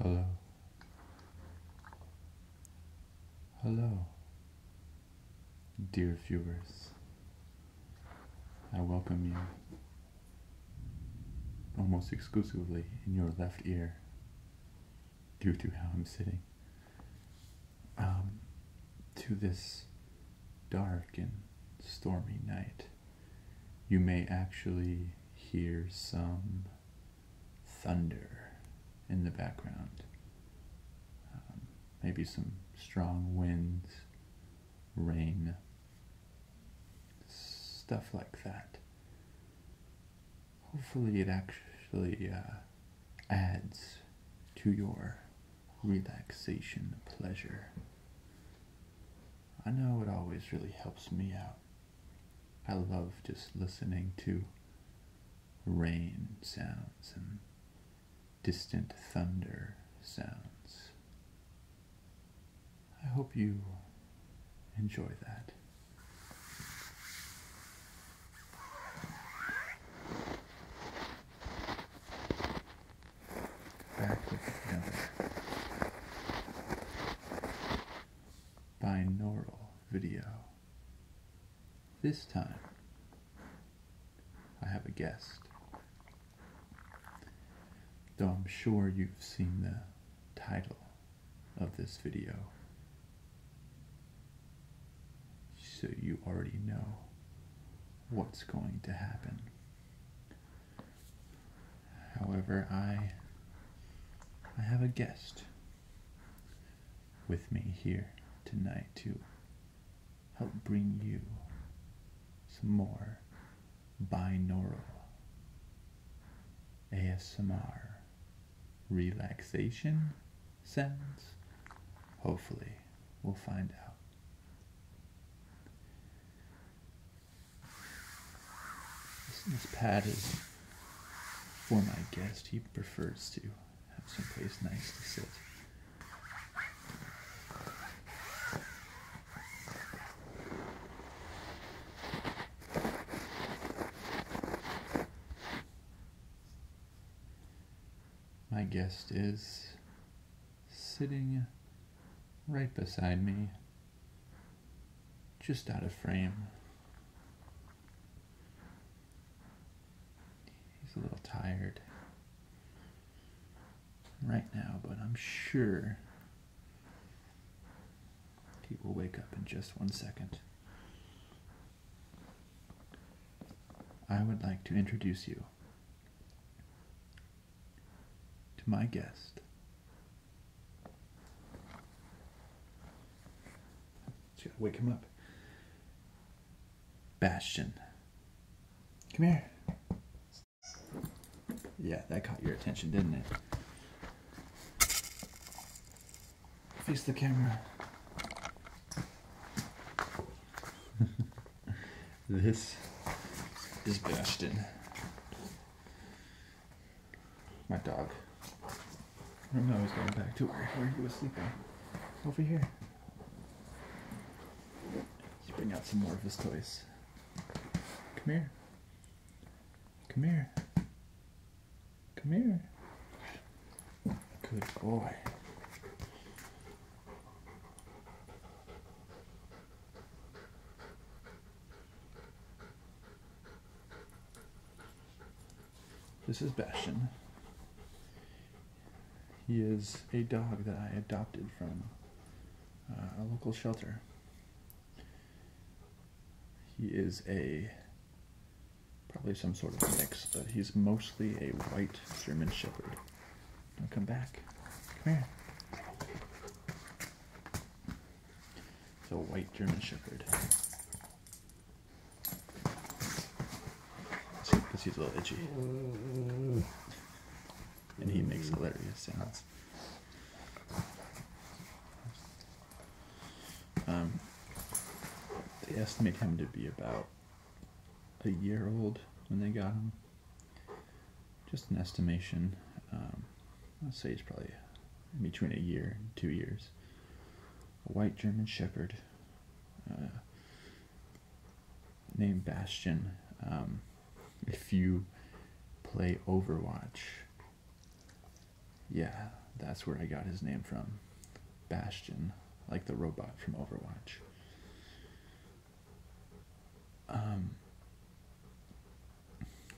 Hello. Hello, dear viewers. I welcome you almost exclusively in your left ear due to how I'm sitting, um, to this dark and stormy night, you may actually hear some thunder in the background. Um, maybe some strong winds, rain, stuff like that hopefully it actually uh, adds to your relaxation pleasure. I know it always really helps me out. I love just listening to rain sounds and distant thunder sounds. I hope you enjoy that binaural video. This time, I have a guest. Though I'm sure you've seen the title of this video. So you already know what's going to happen. However, I I have a guest with me here tonight to help bring you some more binaural ASMR relaxation sounds? Hopefully, we'll find out. This, pad is for my guest. He prefers to have someplace nice to sit. My guest is sitting right beside me, just out of frame. He's a little tired right now, but I'm sure he will wake up in just one second. I would like to introduce you to my guest. Just gotta wake him up. Bastion. Come here. Yeah, that caught your attention, didn't it? Face the camera. this is Bastion. My dog. I don't know, he's going back to where he was sleeping. Over here. Let's bring out some more of his toys. Come here. Come here. Come here. Good boy. This is Bastion. He is a dog that I adopted from uh, a local shelter. He is a probably some sort of mix, but he's mostly a white German Shepherd. come back. Come here. It's a white German Shepherd. Because he's a little itchy. And he makes hilarious sounds. Um, they estimate him to be about a year old when they got him. Just an estimation. Um, I'd say he's probably between a year and two years. A white German Shepherd uh, named Bastion. Um, if you play Overwatch, yeah, that's where I got his name from. Bastion, like the robot from Overwatch. Um,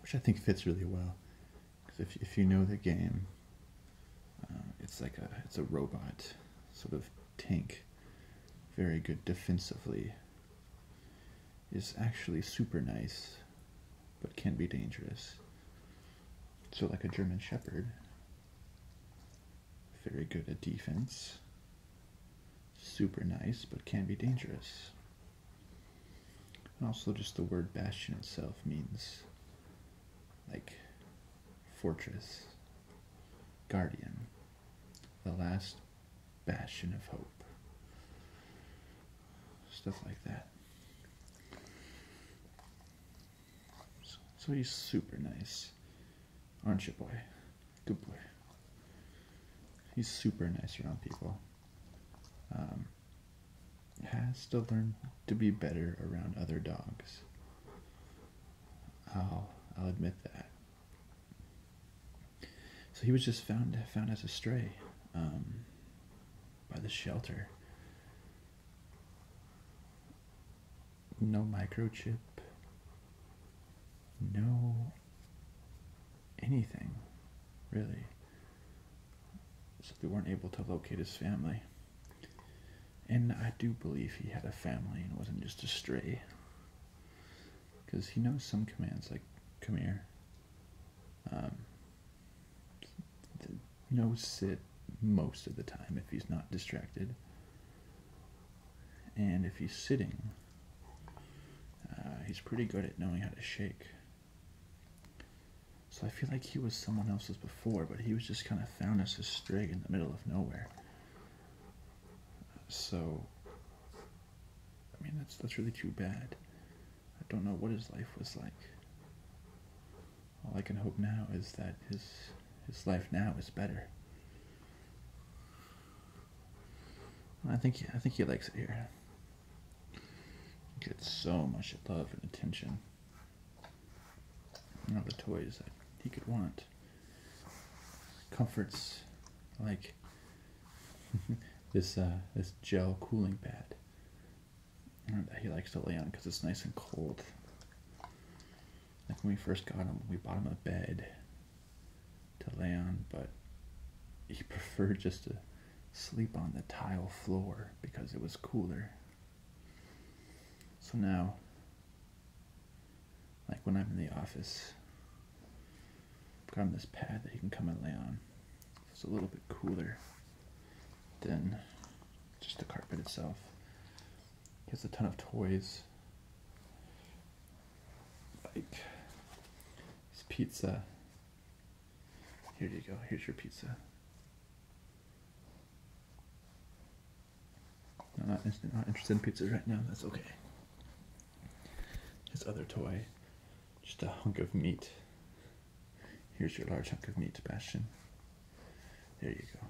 which I think fits really well, because if if you know the game, um, it's like a it's a robot sort of tank, very good defensively. Is actually super nice but can be dangerous. So, like a German Shepherd, very good at defense, super nice, but can be dangerous. And also, just the word bastion itself means like fortress, guardian, the last bastion of hope, stuff like that. So, he's super nice. Aren't you, boy? Good boy. He's super nice around people. Um, has to learn to be better around other dogs. I'll, I'll admit that. So he was just found found as a stray. Um, by the shelter. No microchip. No anything, really. So they weren't able to locate his family. And I do believe he had a family and wasn't just a stray. Because he knows some commands like, come here, um, no sit most of the time if he's not distracted. And if he's sitting, uh, he's pretty good at knowing how to shake. So I feel like he was someone else's before, but he was just kind of found as a stray in the middle of nowhere. So, I mean, that's that's really too bad. I don't know what his life was like. All I can hope now is that his his life now is better. I think I think he likes it here. He gets so much love and attention. all the toys that he could want. Comforts like this uh, this gel cooling pad that he likes to lay on because it's nice and cold. Like when we first got him, we bought him a bed to lay on, but he preferred just to sleep on the tile floor because it was cooler. So now, like when I'm in the office, I've got him this pad that he can come and lay on. It's a little bit cooler. Then, just the carpet itself. He has a ton of toys. Like this pizza. Here you go, here's your pizza. I'm not, not interested in pizzas right now, that's okay. His other toy just a hunk of meat. Here's your large hunk of meat, Bastion. There you go.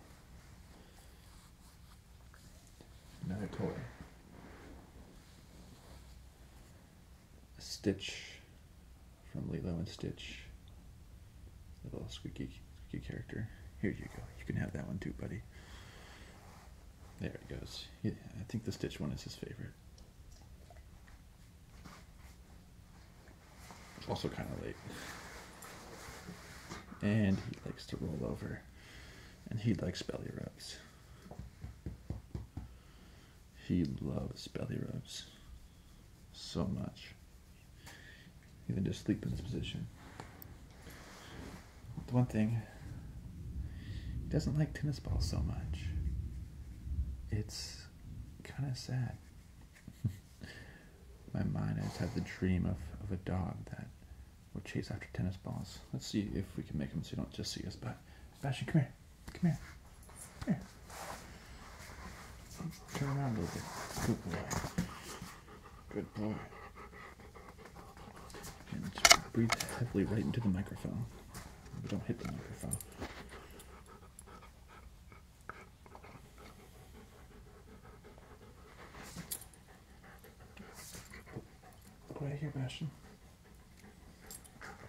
Another toy. Stitch from Lilo and Stitch. little squeaky, squeaky character. Here you go. You can have that one too, buddy. There it goes. I think the Stitch one is his favorite. Also kind of late. And he likes to roll over. And he likes belly rubs. He loves belly rubs so much. Even just sleep in this position. The one thing, he doesn't like tennis balls so much. It's kind of sad. My mind has had the dream of, of a dog that will chase after tennis balls. Let's see if we can make him so he don't just see us. But Sebastian, come here. Come here. here. Turn around a little bit. Good boy. And breathe heavily right into the microphone. Don't hit the microphone. Right here, Bastion.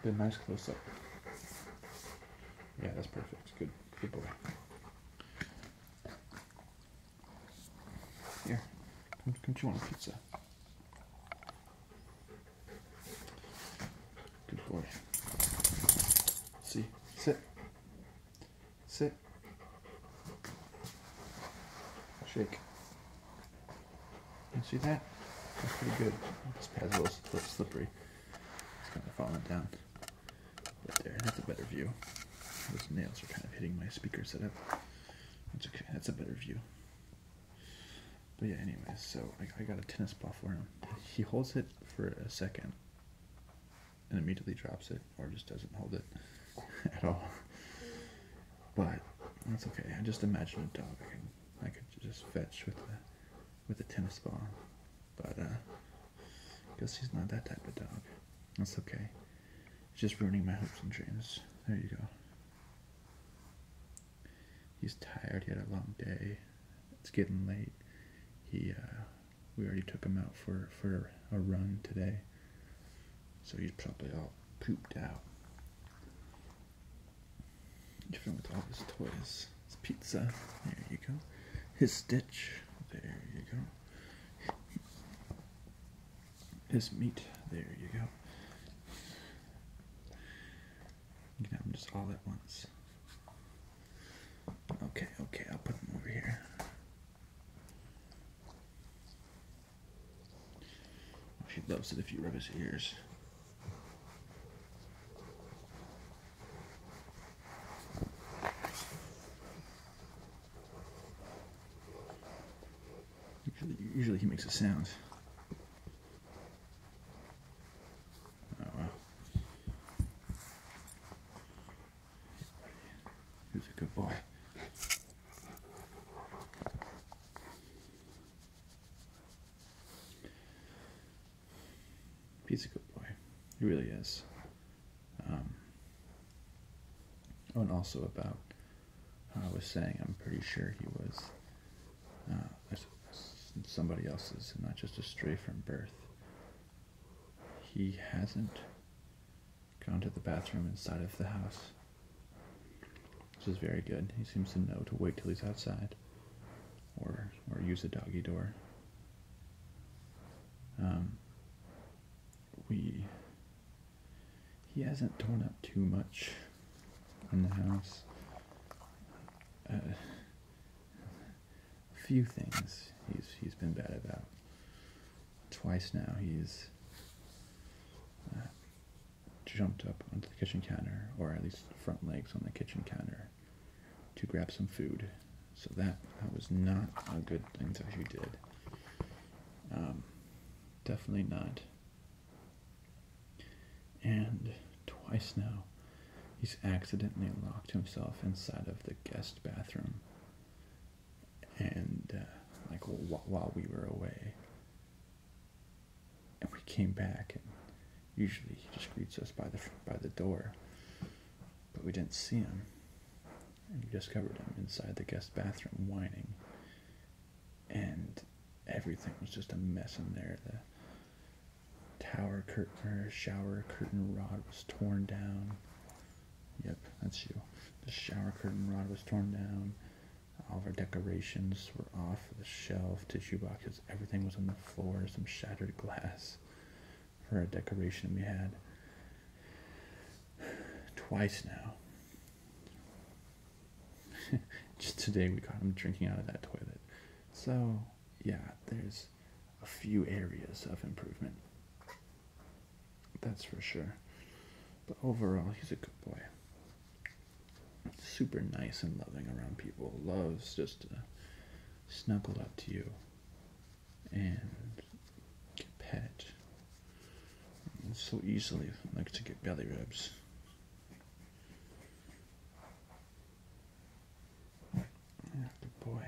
Did a nice close up. Yeah, that's perfect. Good, good boy. Here, come, come chew on a pizza. Good boy. See, sit, sit, shake. You see that? That's pretty good. This pad's a little, slippery. It's kind of falling down. But there, that's a better view. Those nails are kind of hitting my speaker setup. That's okay. That's a better view. But yeah, anyways, so I, I got a tennis ball for him. He holds it for a second and immediately drops it or just doesn't hold it at all. But that's okay. I just imagine a dog I could, just fetch with a, with a tennis ball. But uh, I guess he's not that type of dog. That's okay. just ruining my hopes and dreams. There you go he's tired. He had a long day. It's getting late. He uh, we already took him out for for a run today, so he's probably all pooped out. Different with all his toys. His pizza. There you go. His stitch. There you go. His meat. There you go. You can just all at once. Okay, okay, I'll put them over here. Oh, she loves it if you rub his ears. Usually, usually he makes a sound. Oh well. He's a good boy. He's a good boy. He really is. Um, oh, and also about I was saying, I'm pretty sure he was uh, somebody else's not just a stray from birth. He hasn't gone to the bathroom inside of the house, which is very good. He seems to know to wait till he's outside or, or use a doggy door. Um, we he hasn't torn up too much in the house. Uh, a few things he's he's been bad about. Twice now he's uh, jumped up onto the kitchen counter, or at least front legs on the kitchen counter, to grab some food. So that that was not a good thing that he did. Um, definitely not and twice now he's accidentally locked himself inside of the guest bathroom and uh, like while we were away and we came back and usually he just greets us by the by the door but we didn't see him and we discovered him inside the guest bathroom whining and everything was just a mess in there the tower curtain shower curtain rod was torn down. Yep, that's you. The shower curtain rod was torn down. All of our decorations were off the shelf, tissue boxes, everything was on the floor, some shattered glass for a decoration we had twice now. Just today we caught him drinking out of that toilet. So, yeah, there's a few areas of improvement. That's for sure. But overall, he's a good boy. Super nice and loving around people. Loves just to snuggle up to you and get pet. so easily like to get belly rubs. Good boy.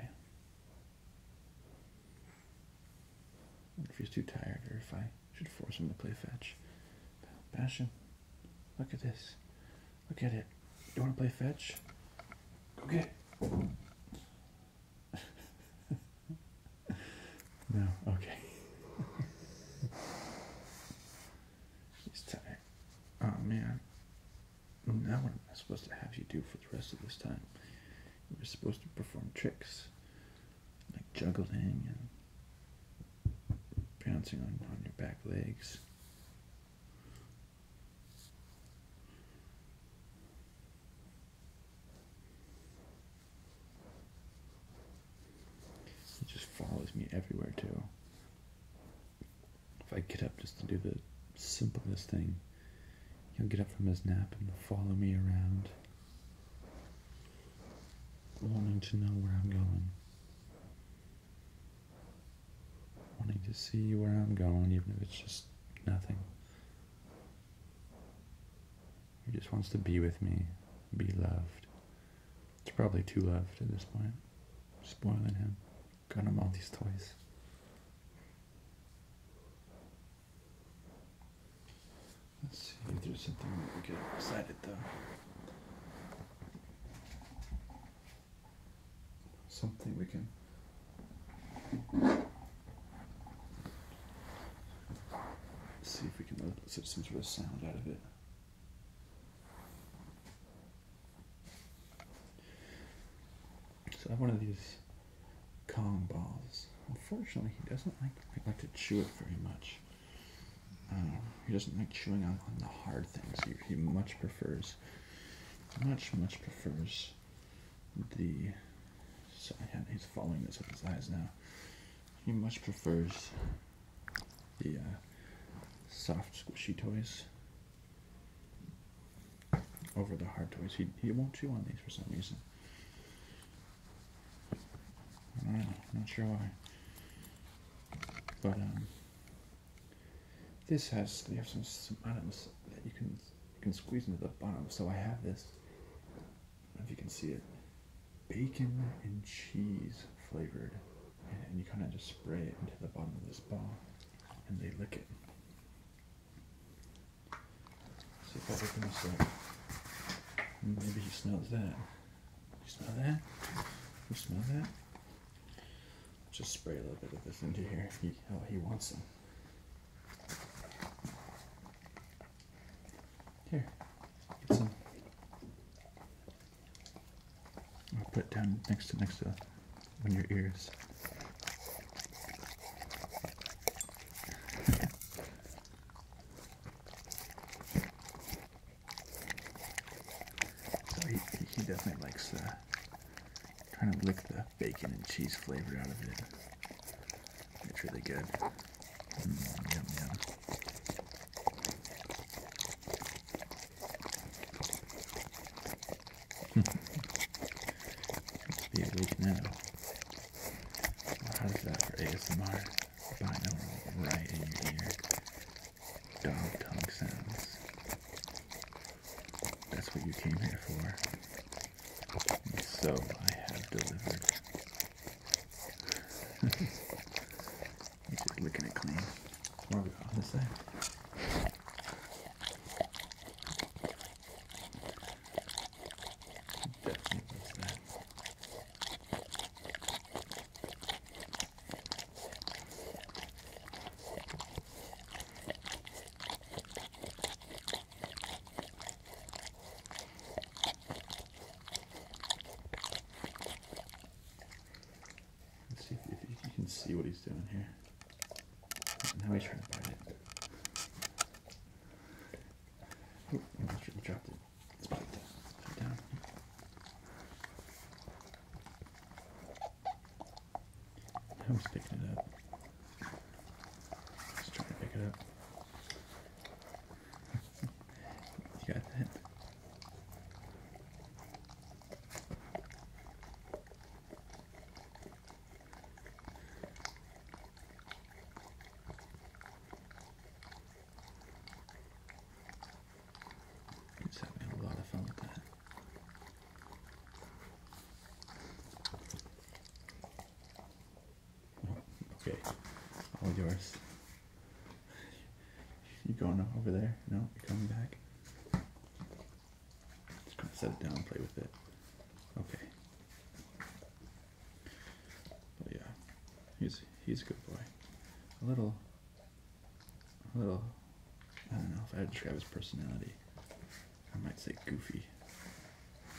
If he's too tired, or if I should force him to play fetch. Bastion, look at this. Look at it. You want to play fetch? Go get no, okay. he's tired. Oh man. Now what am I supposed to have you do for the rest of this time? You are supposed to perform tricks like juggling and bouncing on, on your back legs. It just follows me everywhere too. If I get up just to do the simplest thing, he'll get up from his nap and follow me around, wanting to know where I'm going, wanting to see where I'm going, even if it's just nothing. He just wants to be with me, be loved. It's probably too loved at this point. Spoiling him going to mount these toys. Let's see if there's something that we get excited though. Something we can. see if we can get uh, some sort of sound out of it. So I have one of these Kong balls. Unfortunately, he doesn't like like to chew it very much. Um, he doesn't like chewing on, the hard things. He, much prefers, much much prefers the. So he's following this with his eyes now. He much prefers the uh, soft squishy toys over the hard toys. He, he won't chew on these for some reason. not sure why. But, um, this has, they have some, some items that you can, you can squeeze into the bottom. So I have this, if you can see it, bacon and cheese flavored and you kind of just spray it into the bottom of this bowl, and they lick it. see if I open this up. Maybe he smells that. He smells that? He smells that? Just spray a little bit of this into here. He, oh, he wants some. Here, get some. I'll put it down next to next to on your ears. so he, he definitely likes uh, trying to lick the bacon and cheese flavor out of it. It's really good. Mm, yum, yum. Hmm. Be awake now. Well, how's that for ASMR? Binaural right in your ear. Dog tongue sounds. That's what you came here for. And so I have delivered. He's just looking at clean. What we on this side? Definitely that. Let's see if, if, you can see what he's doing here. Now he's trying to bite it. Ooh, he dropped it. Let's put it down. Let's put it down. Now he's picking it up. He's trying to pick it up. you got that? It's having a lot of fun with that. Oh, okay, all yours. You going over there? No, you're coming back. Just kind to set it down, and play with it. Okay. But yeah, he's he's a good boy. A little, a little. I don't know if I would describe his personality. I might say goofy.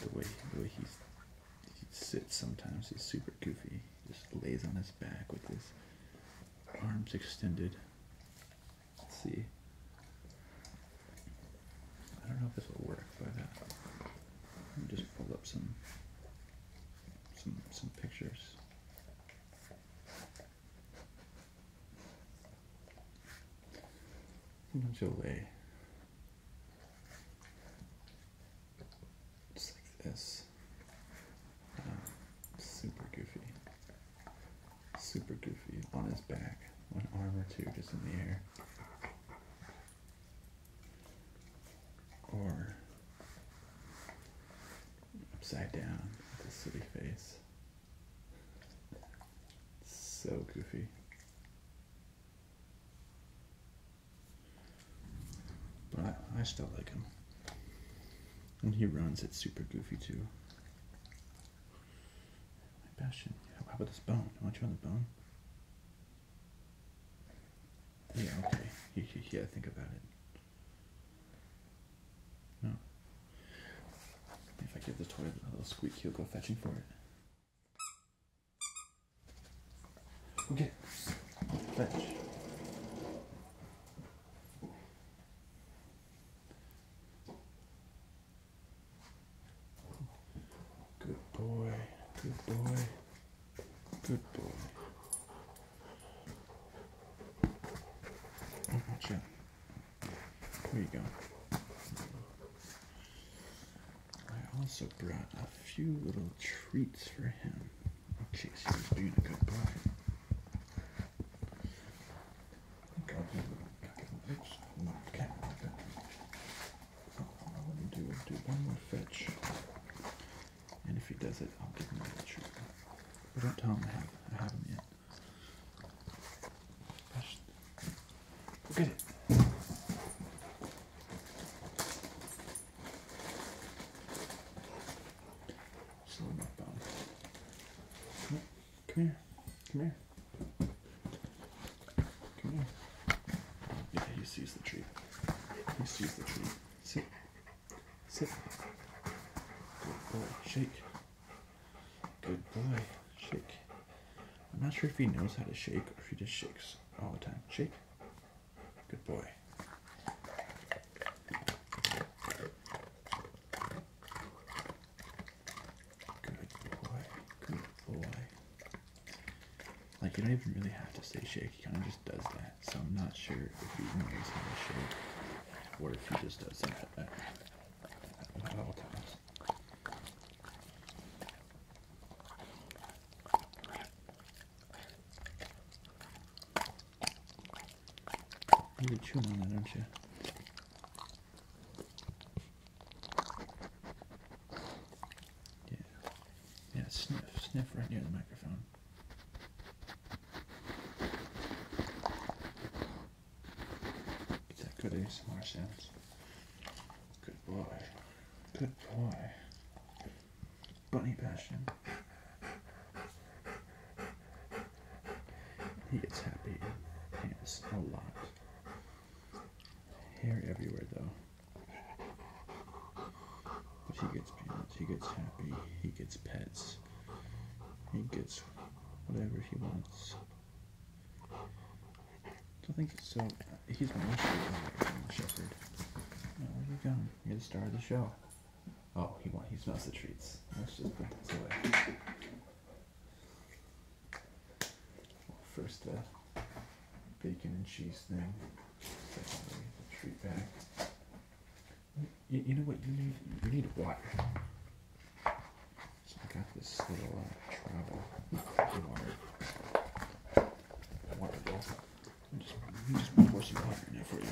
The way the way he sits sometimes he's super goofy. He just lays on his back with his arms extended. Let's see. I don't know if this will work, but uh, let me just pull up some some some pictures. Jolie. Just like this. Uh, super goofy. Super goofy on his back. One arm or two just in the air. Or upside down with a silly face. So goofy. But I, I still like him. When he runs, it's super goofy too. My passion. How about this bone? I want you on the bone. Yeah, okay. yeah, think about it. No. If I give the toy a little squeak, he'll go fetching for it. Okay. Fetch. Good boy. Good boy. Good boy. Oh, watch out. There you go. I also brought a few little treats for him in case he being a good boy. Oops, no, okay. Oh, now let me do, do one more fetch. And if he does it, I'll give him the trigger. But don't tell him I have, I have him yet. Gosh. Go get it. Slow Come here. Come here. Come here. Yeah, he sees the tree. He sees the tree. Sit. Sit. Shake. Good boy. Shake. I'm not sure if he knows how to shake or if he just shakes all the time. Shake. Good boy. Good boy. Good boy. Like you don't even really have to say shake, he kind of just does that. So I'm not sure if he knows how to shake What if he just does that you're chewing on that, aren't you? Yeah. Yeah, sniff. Sniff right near the microphone. Is that good ASMR Good boy. Good boy. Bunny passion. He gets happy. Pants a lot. Hair everywhere though. he gets He gets happy. He gets pets. He gets whatever he wants. I think so. He's my issue, Shepherd. Oh, there you go. You're the star of the show. Oh, he wants, he smells the treats. Let's just put this away. Well, first, the uh, bacon and cheese thing. treat bag. You, know what you need? You need water. So I got this little uh, travel water water bowl. i just, I'm just pour some water in there for you.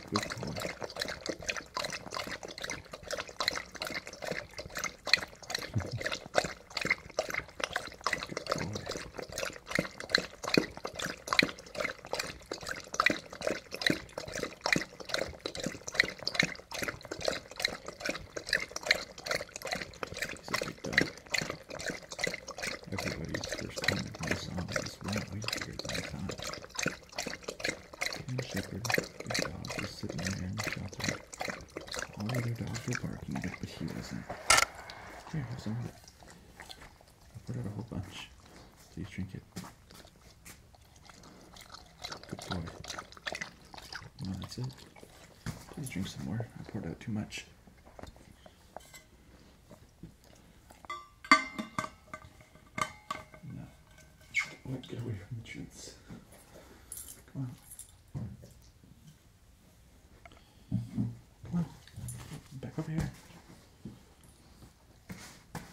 Good call. Everybody's first time with my zombies. Wow, we figured that out. And Shepherd, his dog, was sitting there in the shelter. All the other dogs were barking, but he wasn't. Here, have some of it. I put out a whole bunch. Please drink it. Good boy. No, that's it. Please drink some more. I poured out too much. No. Wait, get away from the chutes. Come on. Come on. Back over here.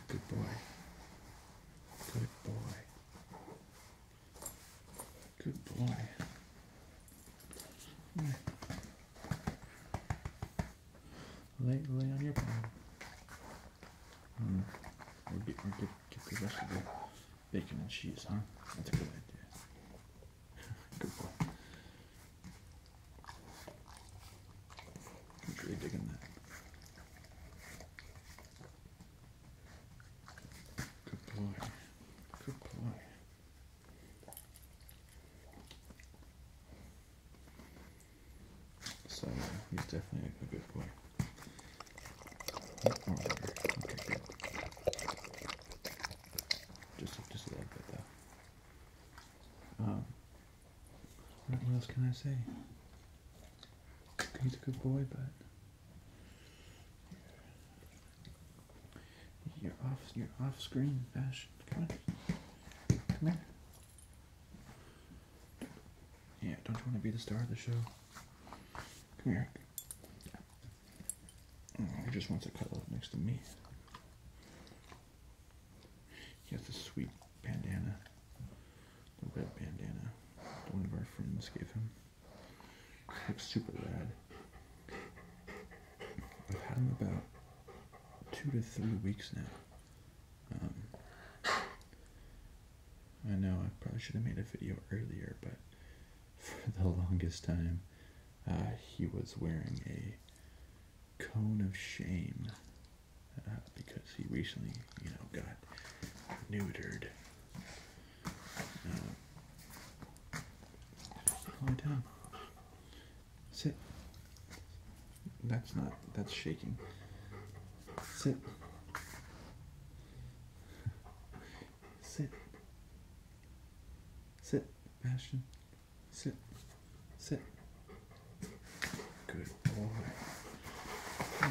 Good boy. Good boy. Good boy lay, lay on your pad. Mm. Or, get, or get, get the rest bacon and cheese, huh? That's a good idea. good boy. He's really digging that. Good boy. Good boy. So he's definitely a good boy. Oh, just, just a little bit though. Um, what else can I say? He's a good boy, but you're off. You're off screen, Bash. Come on. Come here. Yeah, don't you want to be the star of the show? Come here. Oh, he just wants to cuddle up next to me. He has a sweet bandana. The red bandana. One of our friends gave him. looks super rad. I've had him about two to three weeks now. Um, I know I probably should have made a video earlier, but for the longest time, uh, he was wearing a cone of shame uh, because he recently, you know, got neutered. Uh, Sit. That's not, that's shaking. Sit. Sit. Sit, Bastion. Sit. Sit. Good boy. I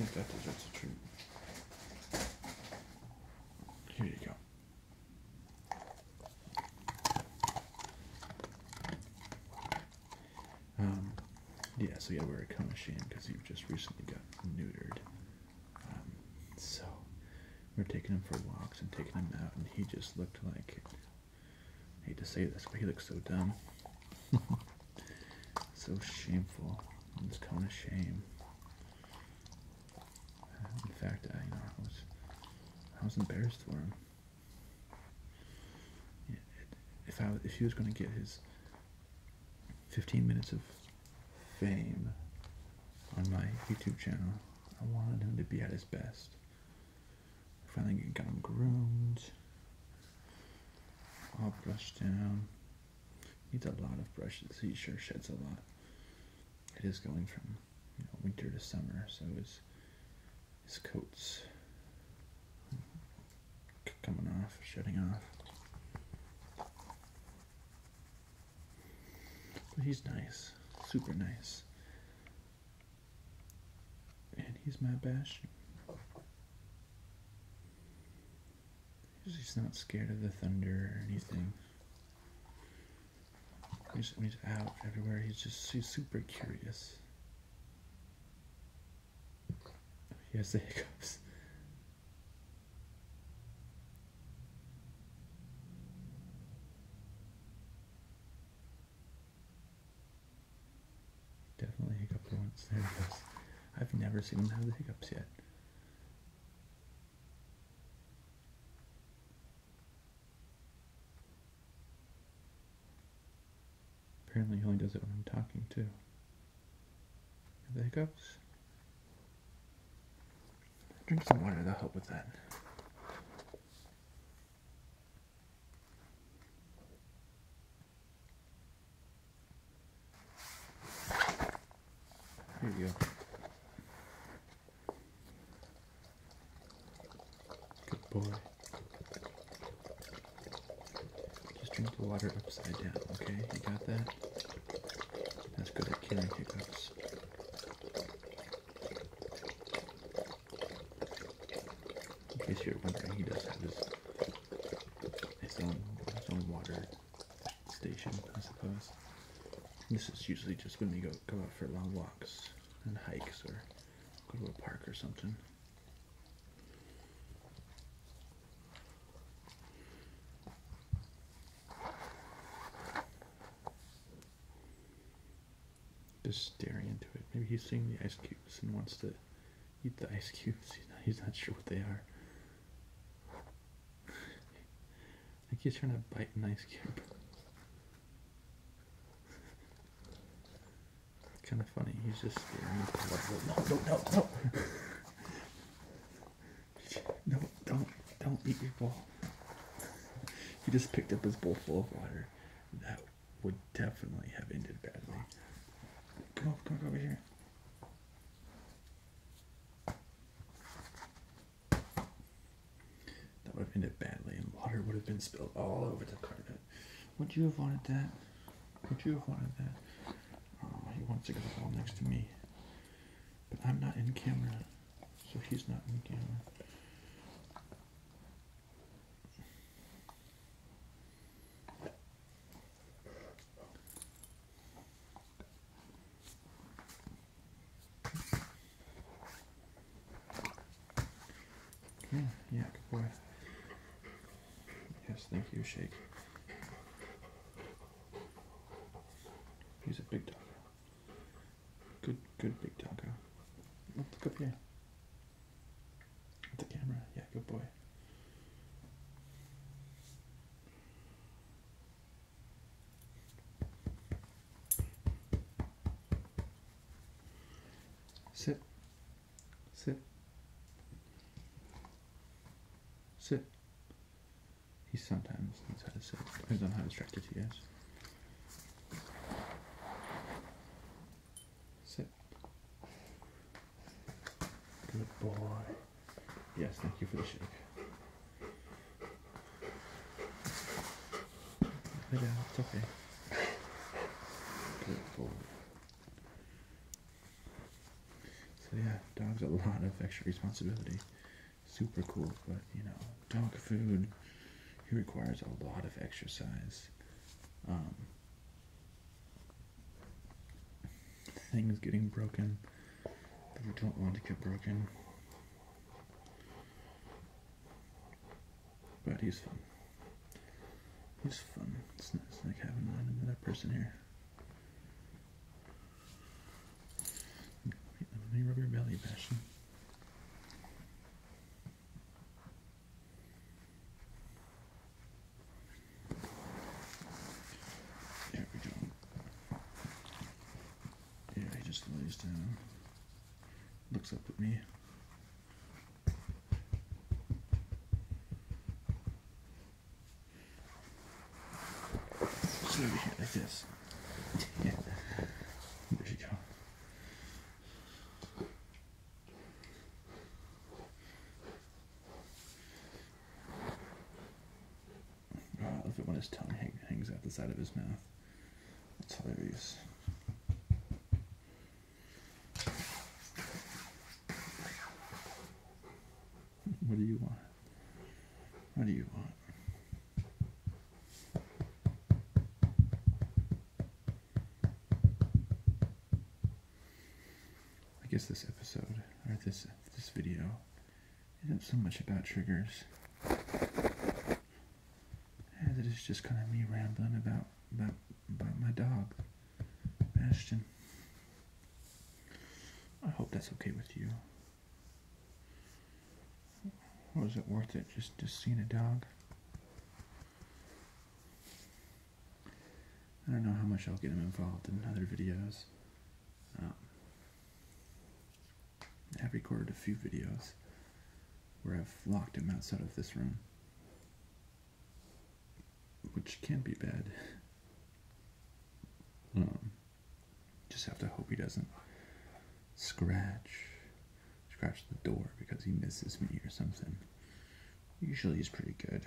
think that deserves a treat. Here you go. Um, yeah, so you gotta wear a Kamashin because you just recently got neutered. Um, so we're taking him for walks and taking him out, and he just looked like I hate to say this, but he looked so dumb. so shameful. I'm just calling shame. Uh, in fact, I was, I was embarrassed for him. If I, if he was going to get his 15 minutes of fame on my YouTube channel, I wanted him to be at his best. Finally got him groomed, all brushed down. Needs a lot of brushes. He sure sheds a lot it is going from winter to summer, so his his coat's coming off, shedding off. But he's nice, super nice, and he's my bastion. He's not scared of the thunder or anything. He's, out everywhere. He's just he's super curious. He has the hiccups. Definitely hiccups. once. There he goes. I've never seen him have the hiccups yet. Apparently he only does it when I'm talking too. The hiccups? Drink some water, to help with that. Here you go. Good boy. Just drink the water upside down, okay? You got that? That's good at killing hiccups. In case you're wondering, he does have his, his, own, water station, I suppose. This is usually just when we go, go out for long walks and hikes or go to a park or something. Just staring into it. Maybe he's seeing the ice cubes and wants to eat the ice cubes. He's not, sure what they are. I think he's trying to bite an ice cube kind of funny. He's just No, no, no, no. No, don't, don't eat your ball. He just picked up his bowl full of water. That would definitely have ended badly. Come on, come over here. That would have ended badly, and water would have been spilled all over the carpet. Would you have wanted that? Would you have wanted that? Oh, he wants to get the ball next to me. But I'm not in camera, so he's not in camera. Yeah, yeah, good boy. Yes, thank you, Shake. He's a big dog. Good, good big doggo. Look up here. At the camera. Yeah, good boy. Sit. Sit. Sit. He sometimes knows how to sit. Depends on how distracted he is. Sit. Good boy. Yes, thank you for the shake. Yeah, okay. So yeah, dog's a lot of extra responsibility. Super cool, but you know, dog food, he requires a lot of exercise. Um, things getting broken that we don't want to get broken. But he's fun. He's fun. It's, nice, like having another person here. Let me rub your belly, Bastion. There we go. Yeah, he just lays down, looks up at me. So we like this. Yeah. There you go. Oh, look at when his tongue hangs out the side of his mouth. That's hilarious. What do you want? What do you want? I guess this episode or this this video isn't so much about triggers and it is just kind of me rambling about, about, about my dog, Bastion. I hope that's okay with you. Was it worth it just, just seeing a dog? I don't know how much I'll get him involved in other videos. Um, I've recorded a few videos where I've locked him outside of this room, which can be bad. Um, just have to hope he doesn't scratch scratch the door because he misses me or something. Usually he's pretty good.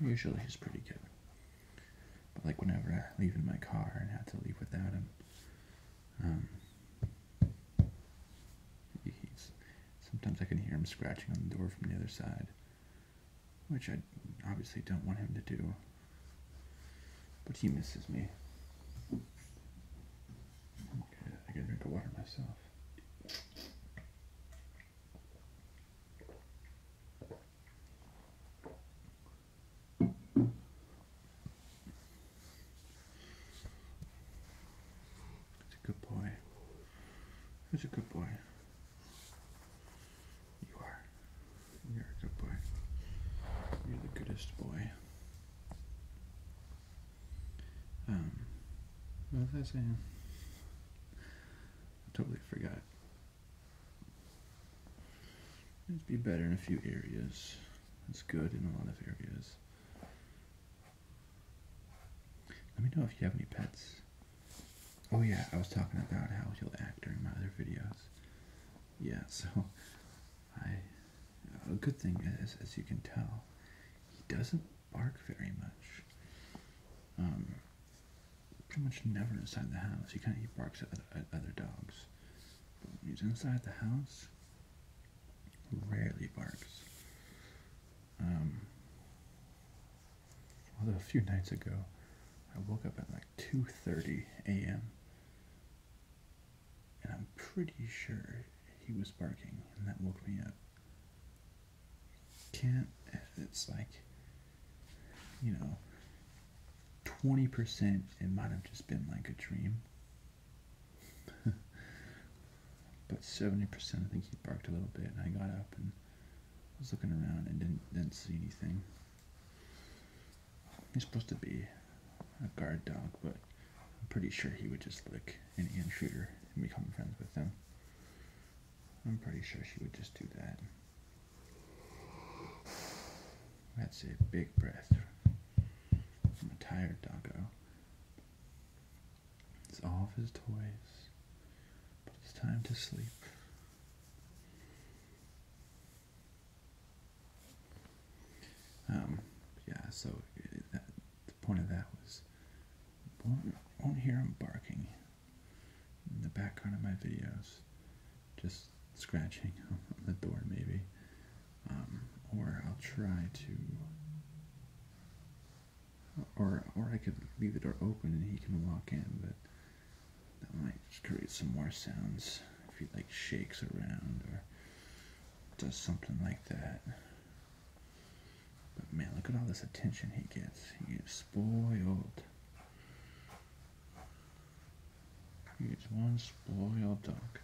Usually he's pretty good. But like whenever I leave in my car and have to leave without him, um, sometimes I can hear him scratching on the door from the other side, which I obviously don't want him to do. But he misses me. Okay, I can drink a water myself. That's a good boy. That's a good boy. You are. You're a good boy. You're the goodest boy. Um, what was I saying? totally forgot. It'd be better in a few areas. It's good in a lot of areas. Let me know if you have any pets. Oh yeah, I was talking about how he'll act during my other videos. Yeah, so I a good thing is, as you can tell, he doesn't bark very much. Um, pretty much never inside the house. He kind of barks at, other dogs. But when he's inside the house, rarely barks. Um, although a few nights ago, I woke up at like 2:30 a.m. and I'm pretty sure he was barking, and that woke me up. Can't it's like you know 20% it might have just been like a dream but 70% I think he barked a little bit and I got up and was looking around and didn't, see anything. He's supposed to be a guard dog, but I'm pretty sure he would just lick any intruder and become friends with them. I'm pretty sure she would just do that. That's a big breath from a tired doggo. It's all of his toys, but it's time to sleep. Um, yeah, so uh, the point of that was won't, won't hear him barking in the background of my videos, just scratching the door maybe. Um, or I'll try to, or or I could leave the door open and he can walk in, but that might create some more sounds if he like shakes around or does something like that. But man, look at all this attention he gets. He gets spoiled. He's one spoiled dog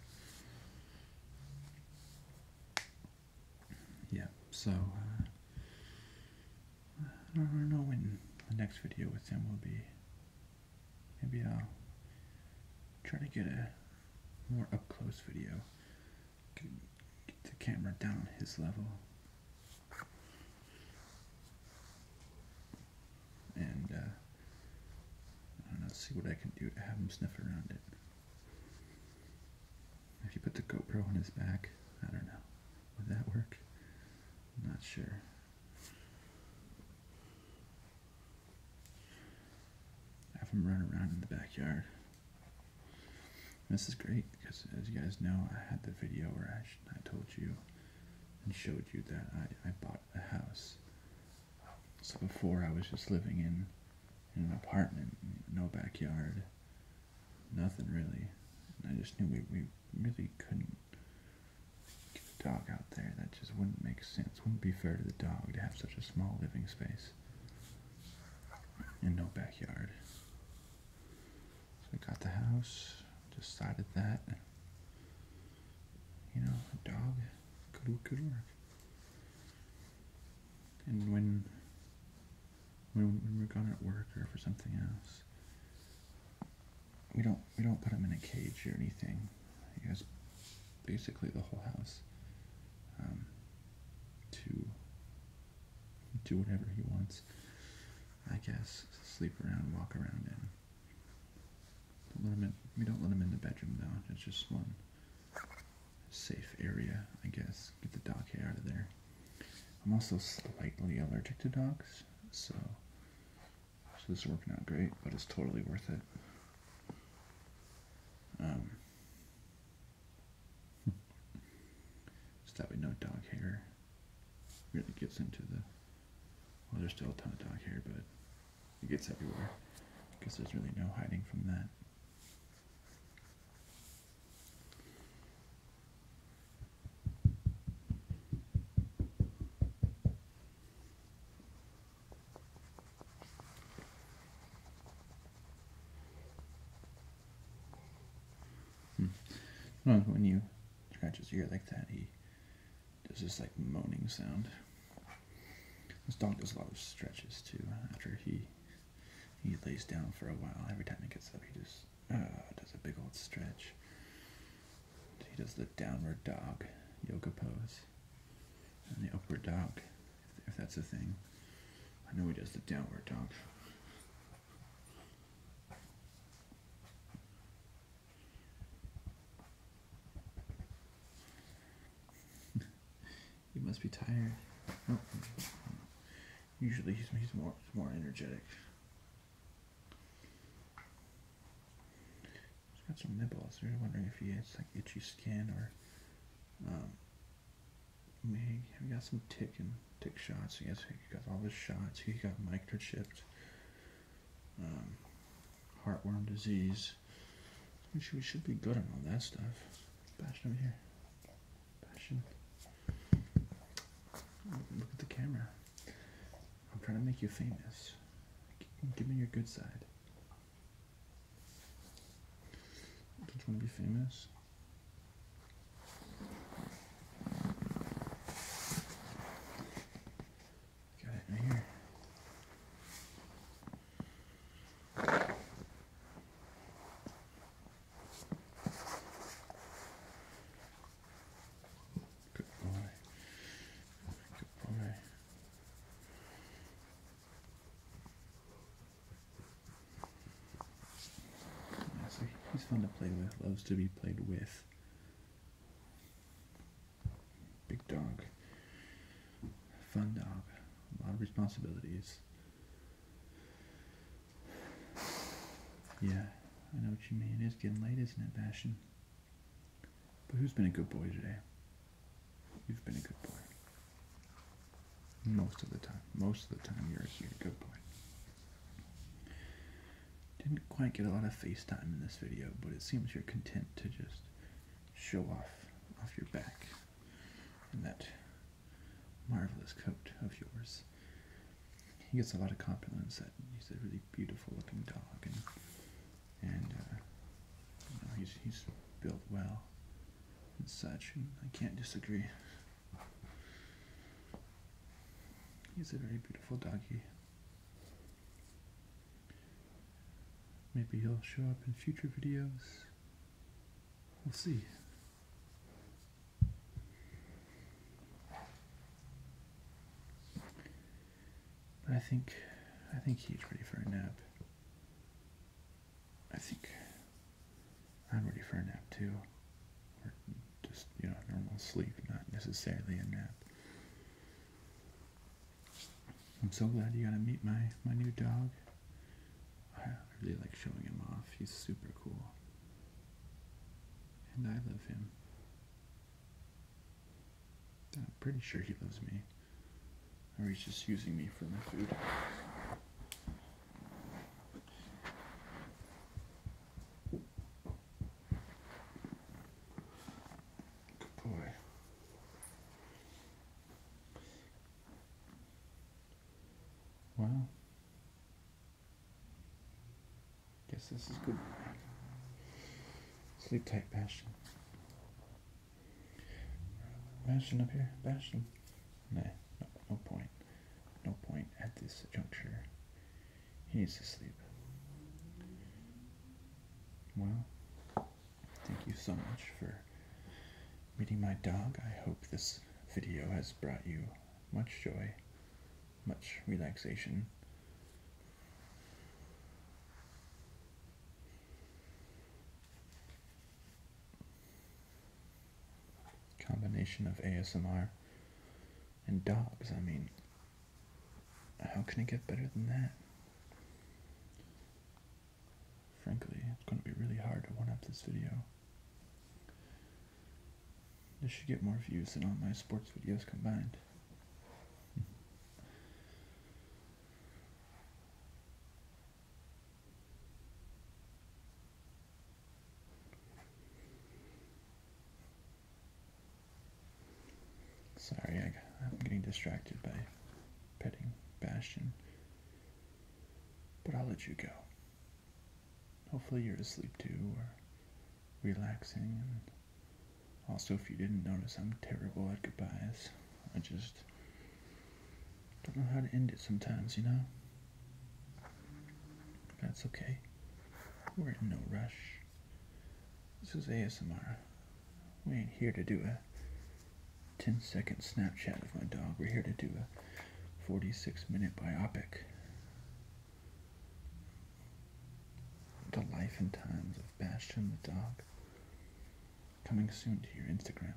yeah, so uh, I don't know when the next video with him will be. Maybe I'll try to get a more up close video. Get the camera down his level. And uh, and let's see what I can do to have him sniff around it. If you put the GoPro on his back, I don't know. Would that work? not sure. Have him run around in the backyard. this is great because, as you guys know, I had the video where I, I told you and showed you that I, I bought the house. So before I was just living in, in an apartment, no backyard, nothing really. I just knew we, we really couldn't get a dog out there. That just wouldn't make sense. Wouldn't be fair to the dog to have such a small living space and no backyard. So we got the house, decided that, you know, a dog could, could work. And when, when we're gone at work or for something else, we don't we don't put him in a cage or anything. He has basically the whole house um, to do whatever he wants. I guess sleep around, walk around in. let him in. We don't let him in the bedroom though. It's just one safe area, I guess. Get the dog hair out of there. I'm also slightly allergic to dogs, so, so this is working out great, but it's totally worth it. Um, just that way no dog hair really gets into the, well there's still a ton of dog hair, but it gets everywhere. Because there's really no hiding from that. Hmm. when you scratch his ear like that, he does this like moaning sound. This dog does a lot of stretches too. After he he lays down for a while, every time he gets up, he just uh, does a big old stretch. He does the downward dog yoga pose and the upward dog, if that's a thing. I know he does the downward dog. he must be tired. Oh, usually he's, more more energetic. He's got some nibbles. We're wondering if he has like itchy skin or um, maybe he got some tick and tick shots. He has he got all his shots. He got microchipped. Um, heartworm disease. Which we should be good on all that stuff. Passion over here. Passion. Look at the camera. I'm trying to make you famous. Give me your good side. Don't you want to be famous? Got it right here. Goodbye. Goodbye. He's fun to play with, loves to be played with. Big dog. Fun dog. A lot of responsibilities. Yeah, I know what you mean. It is getting late, isn't it, Bashan? But who's been a good boy today? You've been a good boy. Most of the time. Most of the time you're, a good boy. Didn't quite get a lot of FaceTime in this video, but it seems you're content to just show off off your back and that marvelous coat of yours. He gets a lot of compliments that he's a really beautiful looking dog and and uh, you know, he's he's built well and such and I can't disagree. He's a very beautiful doggy. Maybe he'll show up in future videos. We'll see. But I think I think he's ready for a nap. I think I'm ready for a nap too. Or just, you know, normal sleep, not necessarily a nap. I'm so glad you got to meet my my new dog. I really like showing him off. He's super cool. And I love him. I'm pretty sure he loves me. Or he's just using me for my food. Good boy. Wow. Guess this is good. Sleep tight, Bastion. Bastion up here, Bastion. no, no point. No point at this juncture. He needs to sleep. Well, Thank you so much for meeting my dog. I hope this video has brought you much joy, much relaxation. Combination of ASMR and dogs. I mean, how can it get better than that? Frankly, it's going to be really hard to one-up this video. This should get more views than all my sports videos combined. Sorry, I, am getting distracted by petting Bastion. But I'll let you go. Hopefully, you're asleep too, or relaxing. And also, if you didn't notice, I'm terrible at goodbyes. I just don't know how to end it sometimes, you know? That's okay. We're in no rush. This is ASMR. We ain't here to do a 10 second Snapchat of my dog. We're here to do a 46 minute biopic. The life and times of Bastion the dog. Coming soon to your Instagram.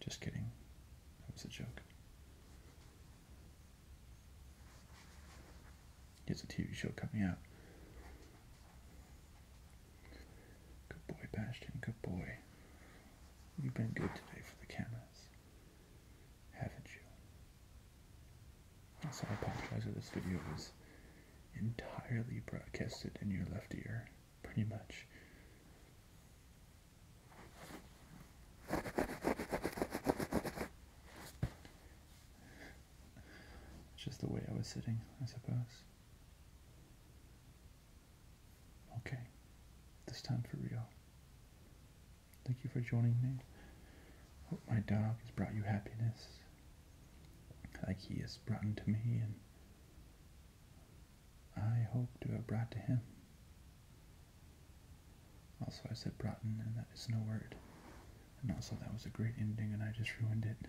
Just kidding. That was a joke. It's a TV show coming out. Good boy, Bastion. Good boy. You've been good today for the cameras, haven't you? So I apologize that this video was entirely broadcasted in your left ear, pretty much. Just the way I was sitting, I suppose. Okay, this time for real. Thank you for joining me. Hope my dog has brought you happiness, like he has brought to me, and I hope to have brought to him. Also, I said brought, and that is no word. And also, that was a great ending, and I just ruined it.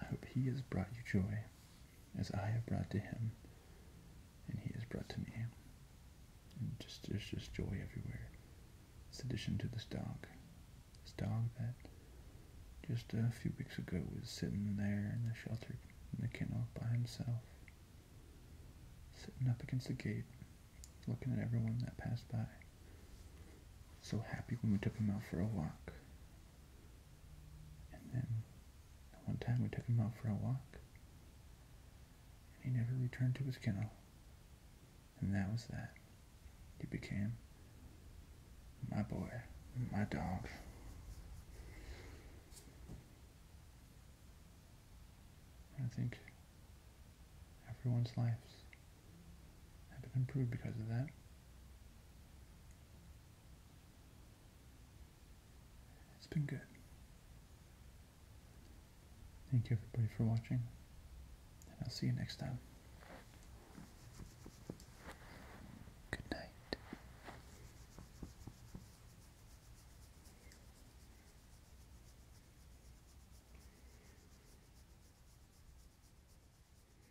I hope he has brought you joy, as I have brought to him, and he has brought to me. And just just joy everywhere. It's addition to this dog, this dog that just a few weeks ago was sitting there in the shelter in the kennel by himself, sitting up against the gate, looking at everyone that passed by. So happy when we took him out for a walk. And then one time we took him out for a walk. And he never returned to his kennel. And that was that. He became my boy, my dog. I think everyone's lives have been improved because of that. It's been good. Thank you everybody for watching, and I'll see you next time. Good night.